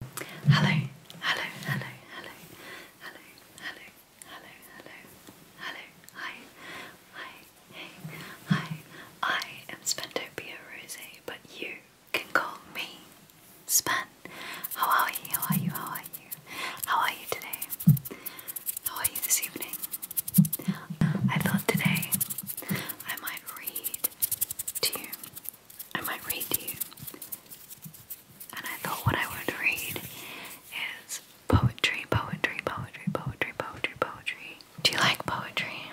Hello, hello, hello, hello, hello, hello, hello, hello, hello, hi, hi, hey, hi, I am Spentopia Rose, but you can call me Span. How are you? How are you? How are you? How are you today? How are you this evening? Um, I thought today I might read to you I might read to you. And I thought what I to read is poetry, poetry, poetry, poetry, poetry, poetry. Do you like poetry?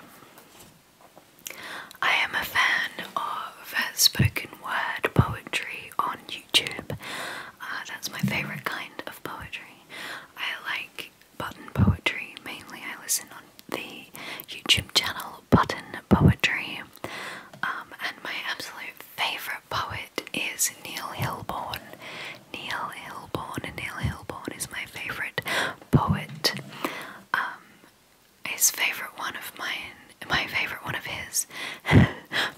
I am a fan of spoken word poetry on YouTube. Uh, that's my favourite kind of poetry. I like button poetry mainly. I listen on the YouTube channel Button Poetry. Um, and my absolute favourite poet is Neil Hilborn. Neil Hilborn, Neil Hilborn is my favourite poet. Um, his favourite one of mine, my favourite one of his,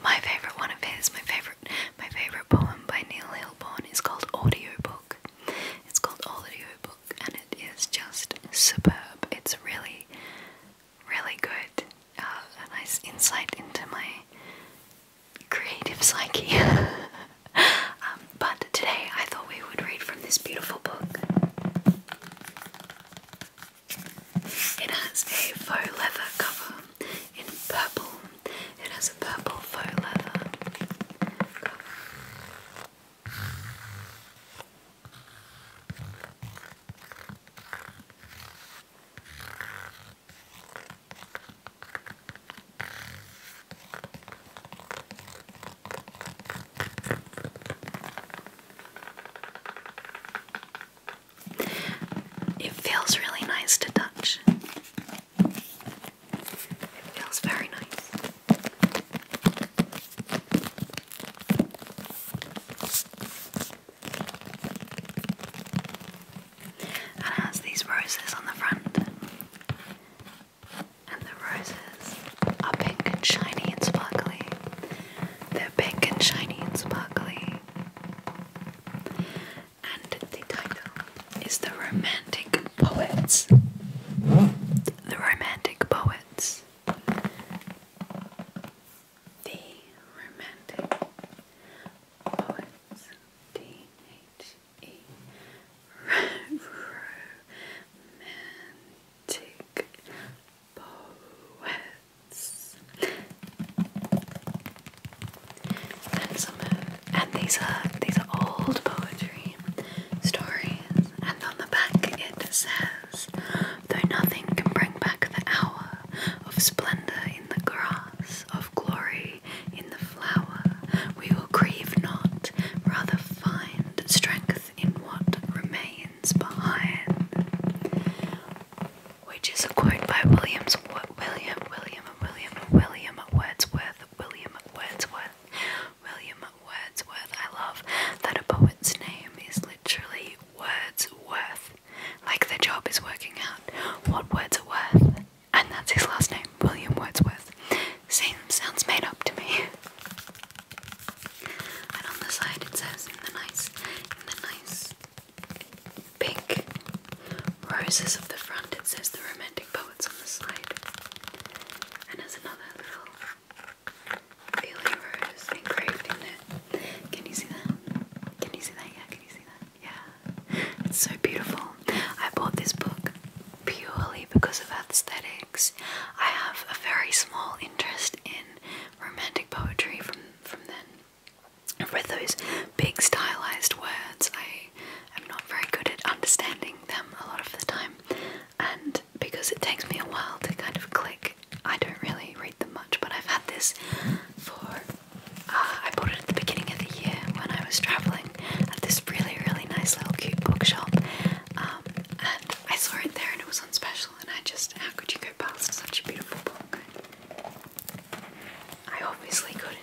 my favourite one of his, my favourite, my favourite poem by Neil Hilborn is called Audiobook. It's called Audiobook and it is just superb. It's really, really good. Uh, a nice insight into my creative psyche. Um, but today I thought we would read from this beautiful book. It has a faux leather cover in purple. It has a purple faux leather cover. It feels really nice to touch. It feels very nice. And it has these roses on the front. And the roses are pink and shiny and sparkly. They're pink and shiny and sparkly. And the title is The Romantic Poets. The Romantic Poets. The Romantic Poets, D-H-E, Romantic Poets. And these are these are old poetry stories. And on the back it says though nothing can bring back the hour of splendour in the grass, of glory in the flower. We will grieve not, rather find strength in what remains behind. Which is a quote by Williams, William, William, William, William Wordsworth, William Wordsworth. William Wordsworth. I love that a poet's name is literally Wordsworth. Like the job is working out what words are worth. And that's his last name, William Wordsworth. Seems sounds made up to me. And on the side it says in the nice in the nice pink roses of the front it says the romantic poets on the side. And there's another little feeling rose and craving it. Can you see that? Can you see that? Yeah, can you see that? Yeah. It's so beautiful. I bought this book purely because of aesthetics. I have a very small interest in romantic poetry from from then. With those big stylized words, I am not very good at understanding them a lot of the time. And because it takes me a while to kind of click. I don't really read them much, but I've had this for. Uh, I bought it at the beginning of the year when I was traveling at this really, really nice little cute bookshop. Um, and I saw it there and it was on special, and I just, how could you go past such a beautiful book? I obviously couldn't.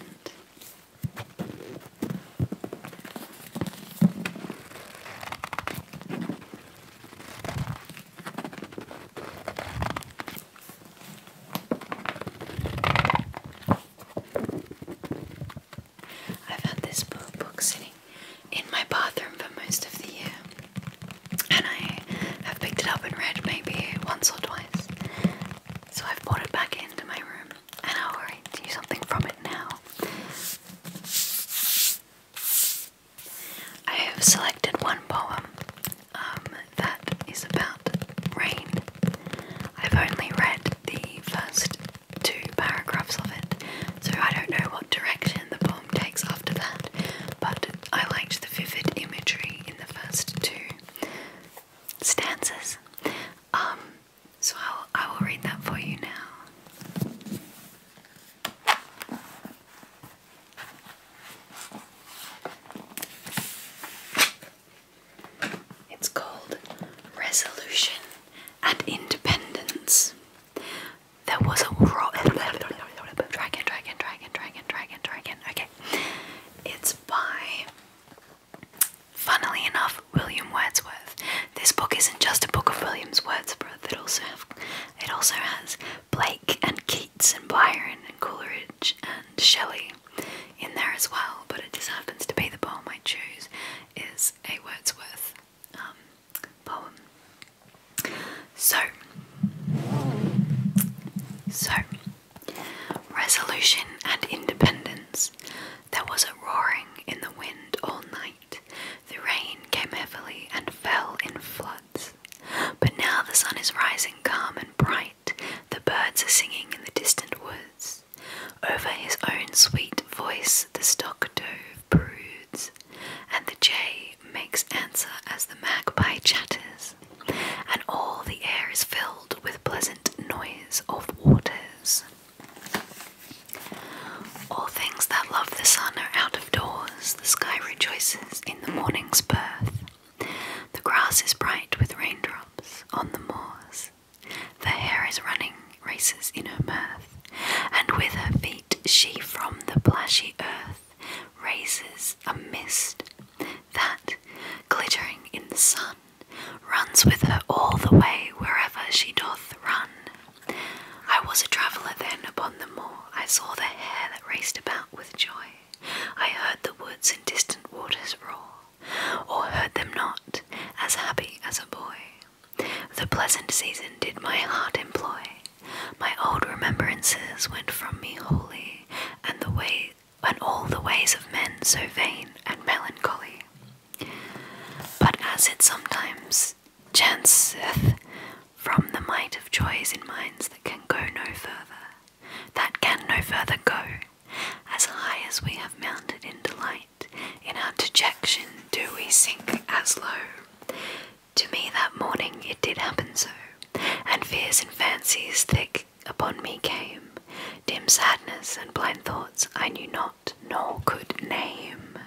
I've had this book sitting in my bathroom for most of the year, and I have picked it up and read maybe once or twice. So I've brought it back into my room, and I'll read something from it now. I have selected one poem um, that is about rain. I've only read the first two paragraphs of it, so I don't know what direction the poem takes after that, but I liked the vivid imagery in the first two stanzas. Um, so I'll, read that for you now. It's called Resolution and Independence. There was a Dragon, dragon, dragon, dragon, dragon, dragon. Okay. It's by Funnily enough, William Wordsworth. This book isn't just a book of William's Wordsworth. It also it also has Blake and Keats and Byron and Coleridge and Shelley in there as well. But it just happens to be the poem I choose is a Wordsworth um, poem. So, so resolution and independence. There was a roaring in the wind all night the rain came heavily and fell in floods. But now the sun is rising calm and bright, the birds are singing in the distant woods. Over his own sweet voice the stock dove broods, and the jay makes answer as the magpie chatters, and all the air is filled with pleasant noise of waters. All things that love the sun are out of doors, the sky rejoices in the morning's birth. The grass is bright with raindrops on the moors. The hare is running, races in her mirth, and with her feet she from the plashy earth raises a mist that, glittering in the sun, runs with her all the way wherever she doth run. I was a traveller then upon the moor, I saw the hare that raced about with joy, I heard the woods and distant waters roar, or heard them not, as happy as a boy. The pleasant season did my heart employ, my old remembrances went from me wholly, and the way and all the ways of men so vain and melancholy. But as it sometimes chanceth from the might of joys in minds that can go no further, that can no further go, as high as we have mounted in delight, in our dejection do we sink as low. To me that morning it did happen so, and fears and fancies thick upon me came, dim sadness and blind thoughts I knew not nor could name.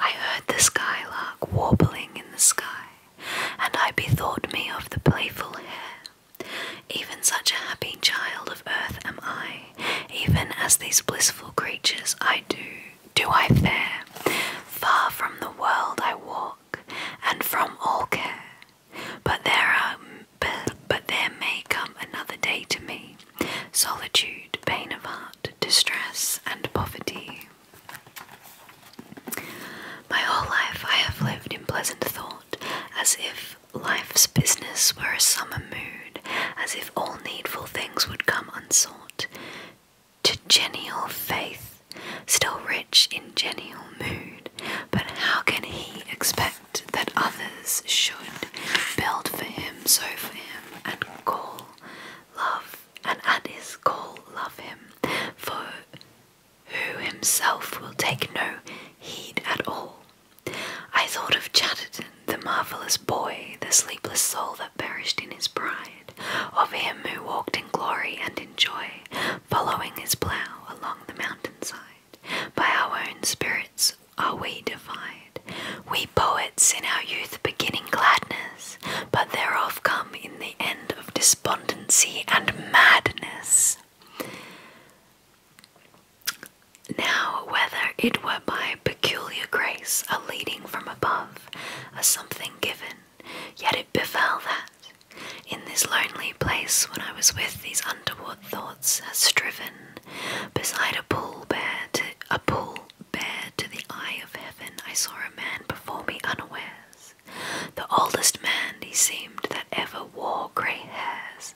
I heard the skylark warbling in the sky, and I bethought me of the playful hare. Even such a happy child of earth am I, even as these blissful creatures I do, do I fare. Far from the world I walk, and from all care. But there are but, but there may come another day to me solitude, pain of heart, distress, and poverty. My whole life I have lived in pleasant thought, as if life's business were a summer mood, as if all needful things would come unsought. To genial faith, still rich in genial mood, but how can he expect? that others should build for him, so for him, and call love, and at his call love him, for who himself will take no heed at all. I thought of Chatterton, the marvellous boy, the sleepless soul that perished in his pride, of him who walked in glory and in joy, following his plough along the mountain side, by our own spirits are we divided, We poets in our youth beginning gladness, but thereof come in the end of despondency and madness. Now, whether it were by peculiar grace, a leading from above, a something given, yet it befell that, in this lonely place, when I was with these untoward thoughts, has striven beside a pool bear to the eye of heaven I saw a man before me unawares the oldest man he seemed that ever wore grey hairs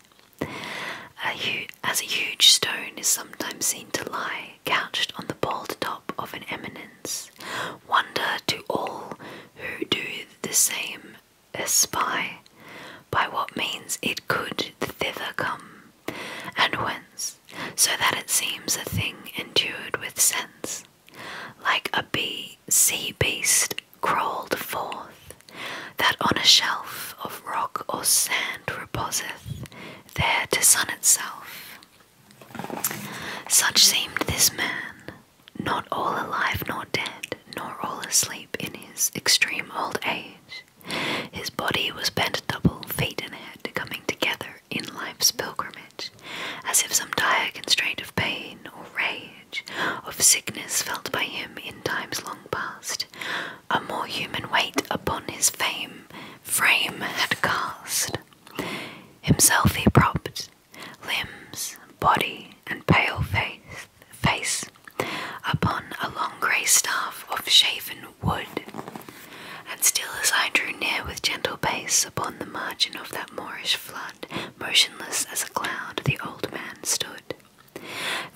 as a huge stone is sometimes seen to lie couched on the bald top of an eminence wonder to all who do the same a spy, by what means it could thither come, and whence, so that it seems a thing endued with sense, like a bee sea beast crawled forth, that on a shelf of rock or sand reposeth, there to sun itself. Such seemed this man, not all alive nor dead, nor all asleep in his extreme old age, his body was bent double, feet and head coming together in life's pilgrimage, as if some dire constraint of pain or rage, of sickness felt by him in times long past, a more human weight upon his fame frame had cast. Himself he propped, limbs, body, and pale face, face upon a long grey staff of shaven wood. And still as I drew near with gentle pace upon the margin of that moorish flood, motionless as a cloud, the old man stood.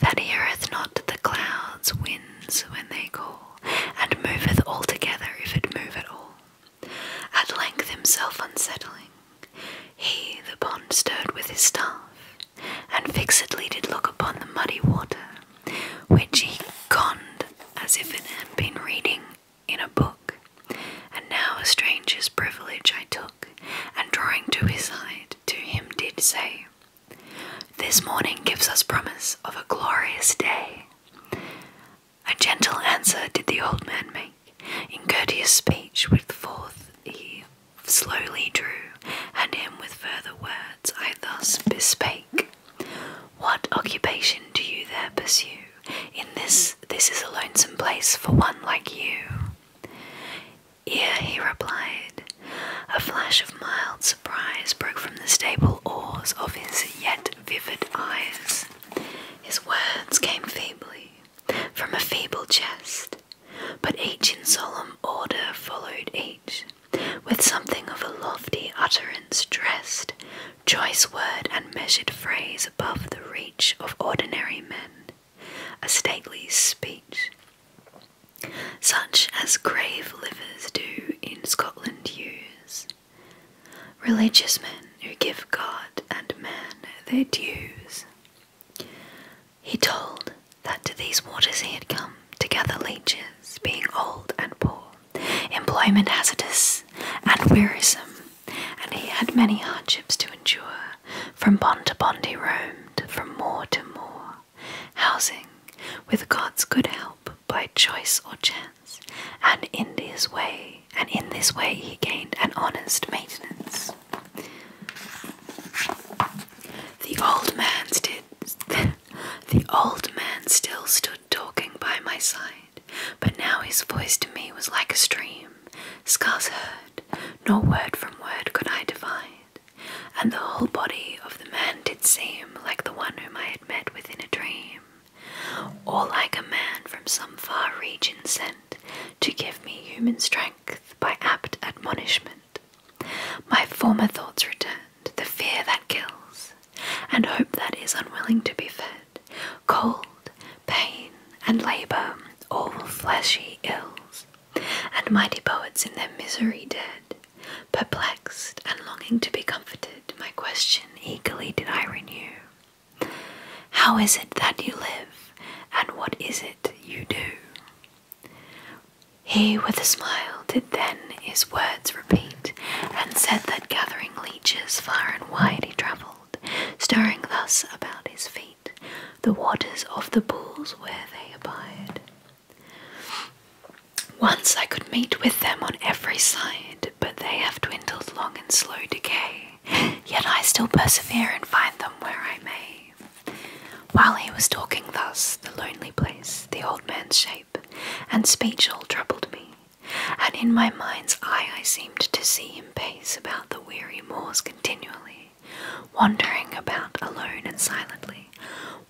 That heareth not the clouds' winds when they call, and moveth altogether if it move at all. At length himself unsettling, he the pond stirred with his staff, and fixedly did look upon the muddy water, which he conned as if it had been reading in a book. And now a stranger's privilege I took, and drawing to his side, to him did say, This morning gives us promise of a glorious day. A gentle answer did the old man make, in courteous speech with fourth he slowly drew and him with further words. I thus bespake. What occupation do you there pursue? In this, this is a lonesome place for one like you. Ere he replied, a flash of mild surprise broke from the stable oars of his yet vivid eyes. His words came feebly, from a feeble chest, but each in solemn order followed each, with something of a lofty utterance dressed, choice word and measured phrase above the reach of ordinary men, a stately speech, such as grave livers do in Scotland use. Religious men who give God and man their dues. He told that to these waters he had come to gather leeches, being old and poor, employment hazardous and wearisome, and he had many hardships to endure. From bond to bond he roamed, from moor to moor, housing, with God's good help, by choice or chance, and in his way, and in this way he gained an honest maintenance. The old man did. the old man still stood talking by my side, but now his voice to me was like a stream, scarce heard, nor word from word could I divine, and the whole body of the man did seem like the one whom I had met within a dream, or like a man from some far region sent to give me human strength by apt admonishment. My former thoughts returned, the fear that kills, and hope that is unwilling to be fed, cold, pain, and labour, all fleshy ills, and mighty poets in their misery dead, perplexed and longing to be comforted, my question eagerly did I renew. How is it that you live, and what is it you do? He with a smile did then his words repeat, and said that gathering leeches far and wide he travelled, stirring thus about his feet the waters of the pools where they abide. Once I could meet with them on every side, but they have dwindled long in slow decay, yet I still persevere and find them where I may. While he was talking thus, the lonely place, the old man's shape, and speech all troubled me, and in my mind's eye I seemed to see him pace about the weary moors continually, wandering about alone and silently,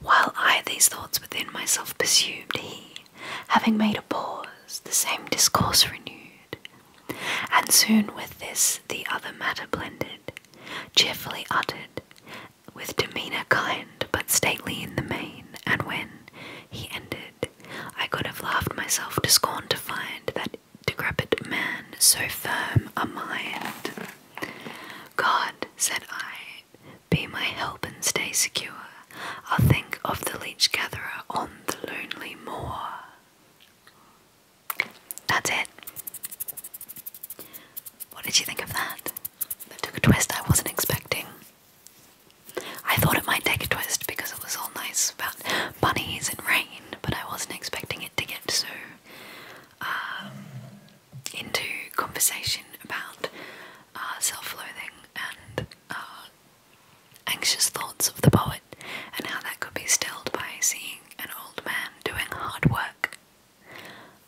while I these thoughts within myself pursued, he, having made a pause, the same discourse renewed, and soon with this the other matter blended, cheerfully uttered, with demeanour kind but stately in the main, and when he ended, I could have laughed myself to scorn to find that decrepit man so firm a mind. God, said I, be my help and stay secure. I'll think of the leech gatherer on the lonely moor. That's it. What did you think of that? That took a twist I wasn't expecting. I thought it might take a twist because it was all nice about bunnies and rain, but I wasn't expecting it to get so uh, into conversation about uh, self-loathing and uh, anxious thoughts of the poet and how that could be stilled by seeing an old man doing hard work.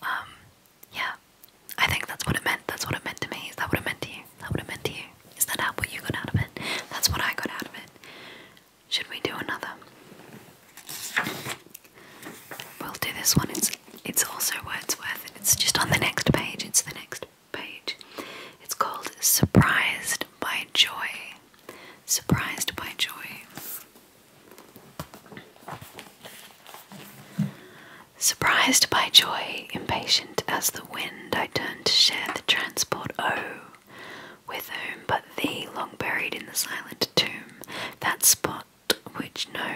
Um, yeah, I think that's what it meant. That's what it meant to me. Is that what it meant to you? that what it meant to you? Is that how what you got out of it? That's what I got out of it. Should we do another? We'll do this one. It's it's also Wordsworth. It's just on the next page. It's the next page. It's called Surprised by Joy surprised by joy. Surprised by joy, impatient as the wind, I turn to share the transport. Oh, with whom but thee, long buried in the silent tomb, that spot which no.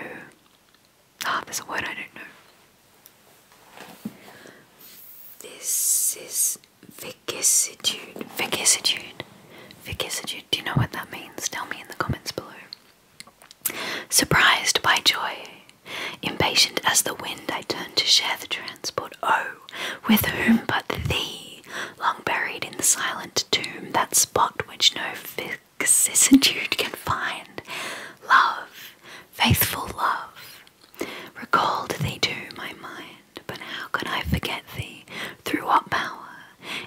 Ah, there's a word I don't know. This is vicissitude. Vicissitude. Vicissitude. Do you know what that means? Tell me in the comments below. Surprised by joy, impatient as the wind, I turn to share the transport. Oh, with whom but thee? Long buried in the silent tomb, that spot which no vicissitude can find. Love, faithful love, recalled they to my mind but how can I forget thee? Through what power?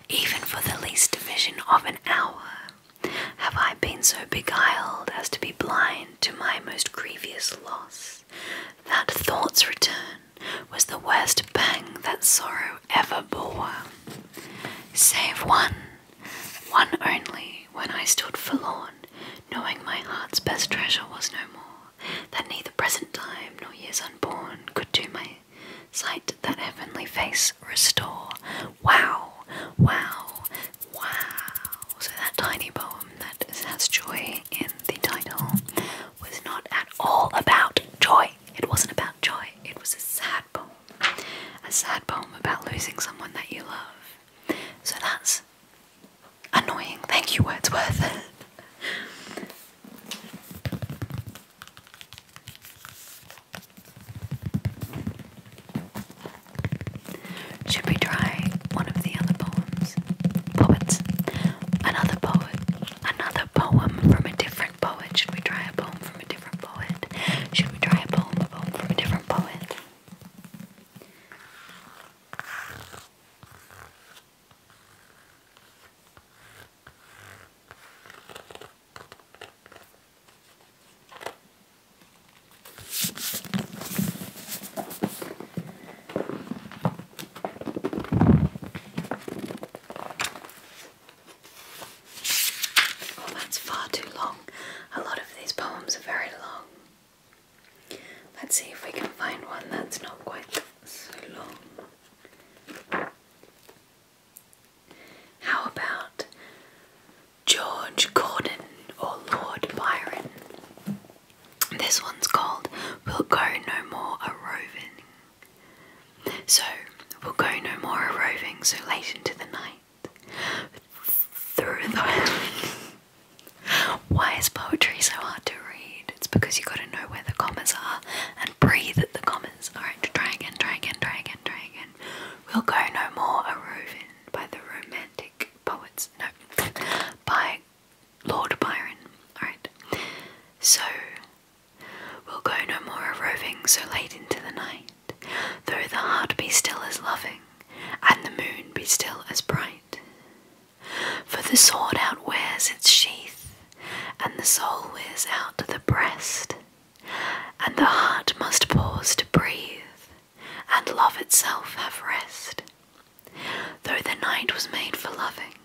Even for the least division of an hour, have I been so beguiled as to be blind to my most grievous loss? That thought's return was the worst pang that sorrow ever bore. Save one, one only, when I stood forlorn, knowing my heart's best treasure was no more that neither present time nor years unborn could to my sight that heavenly face restore. Wow, wow, wow. So that tiny poem that has joy in the title was not at all about joy. It wasn't about joy, it was a sad poem. A sad poem about losing someone that you love. So that's Annoying. Thank you, Wordsworth. Should we try one of the other poems? Poets. Another poet. Another poem from a different poet. Should we try a poem from a different poet? Should we try a poem, from a different poet? Oh, that's far too long. A lot of these poems are very long. Let's see if we can find one that's not quite so long. How about George Gordon or Lord Byron? This one's called We'll Go No More A So, we'll go no more a so late into the night. Through the Why is poetry so hard to read? It's because you have gotta know where the commas are and breathe at the commas. Alright, try again, try again, We'll go no more a roving by the romantic poets. No, by Lord Byron. Alright, so we'll go no more a roving so late into the night, though the heart be still as loving and the moon be still as bright. For the sword outwears its sheath, and the soul wears out the breast, and the heart must pause to breathe, and love itself have rest. Though the night was made for loving,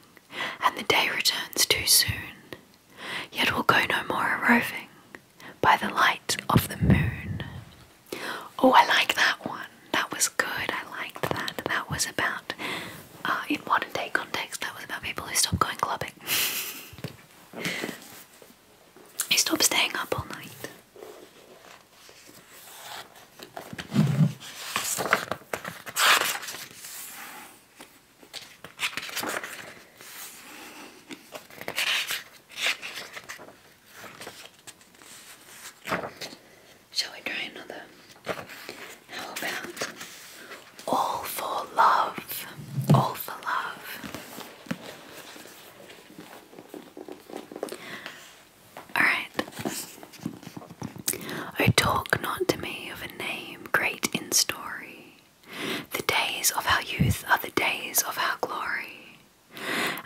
and the day returns too soon, yet we'll go no more a roving by the light of the moon. Oh, I like that one. That was good. I liked that. That was about, uh, in modern day context, that was about people who stop going clubbing, who stop staying up all night. Shall we try another? How about All for Love? All for Love. Alright. Oh, talk not to me of a name great in story. The days of our youth are the days of our glory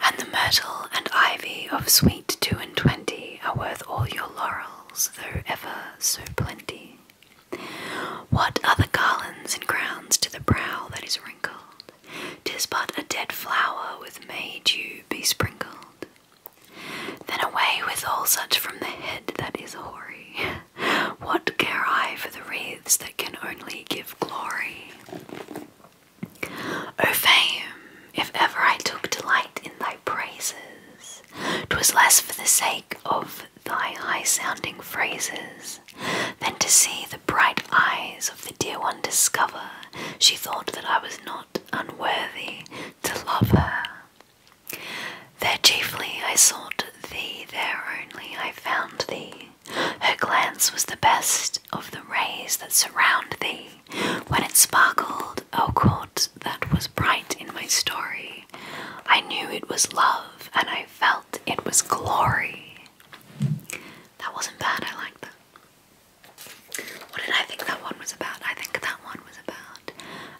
and the myrtle and ivy of sweet two and twenty are worth all your laurels, though ever so plenty. What are the garlands and crowns to the brow that is wrinkled? Tis but a dead flower with May dew besprinkled. Then away with all such from the head that is hoary. What care I for the wreaths that can only give glory? O fame, if ever I took delight in thy praises, 'twas less for the sake of thy high sounding phrases than to see the bright eyes of the dear one discover she thought that I was not unworthy to love her. There chiefly I sought thee, there only I found thee. Her glance was the best of the rays that surround thee, when it sparkled, oh God, that was bright in my story. I knew it was love and I felt it was glory. That wasn't bad, I liked that. What did I think that one was about? I think that one was about,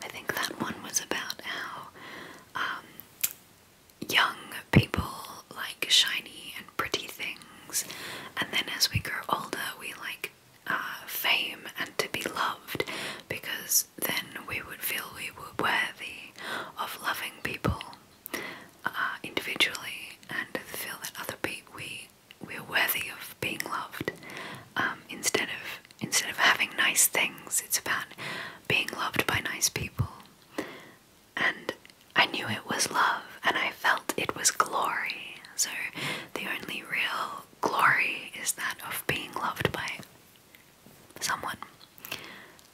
I think that one was about how um, young people like shiny pretty things, and then as we grow older, we like uh, fame and to be loved because then we would feel we were worthy of loving people uh, individually and feel that other people we we're worthy of being loved um, instead of instead of having nice things it's about being loved by nice people and I knew it was love and I felt it was glory. So the only real glory is that of being loved by someone.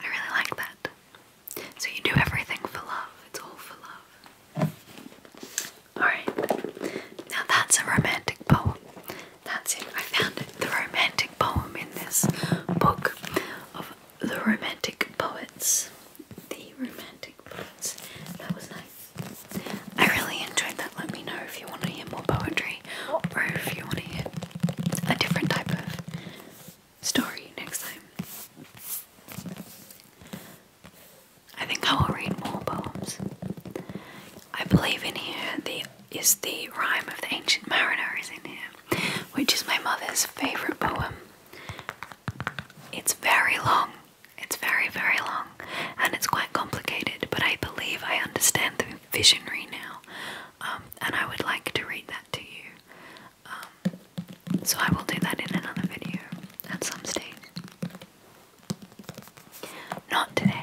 I really like that. So you do everything for love, it's all for love. Alright, now that's a romantic poem. That's it. I found the romantic poem in this book of the romantic poets the romantic poets. That was nice. I really enjoyed that. Let me know if you want to hear more poetry or if you want to hear a different type of story next time. I think I will read more poems. I believe in here the is the rhyme of the ancient mariner is in here, which is my mother's favourite poem. It's very long it's very, very long and it's quite complicated, but I believe I understand the visionary now, um, and I would like to read that to you. Um, so I will do that in another video at some stage. Not today.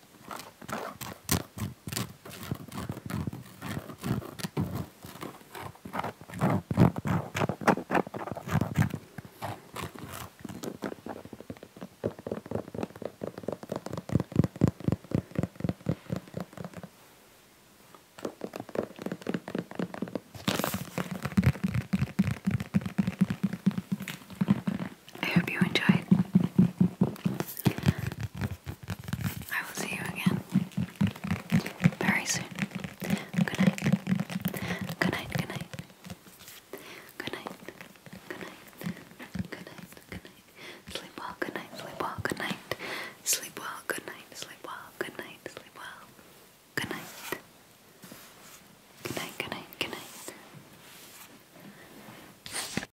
I hope you enjoyed. I will see you again very soon. Good night. Good night. Good night. Good night. Good night. Good night. Good night. Sleep well. Good night. Sleep well. Good night. Sleep well. Good night. Sleep well. Good night. Sleep well. Good night. Good night. Good night. Good night.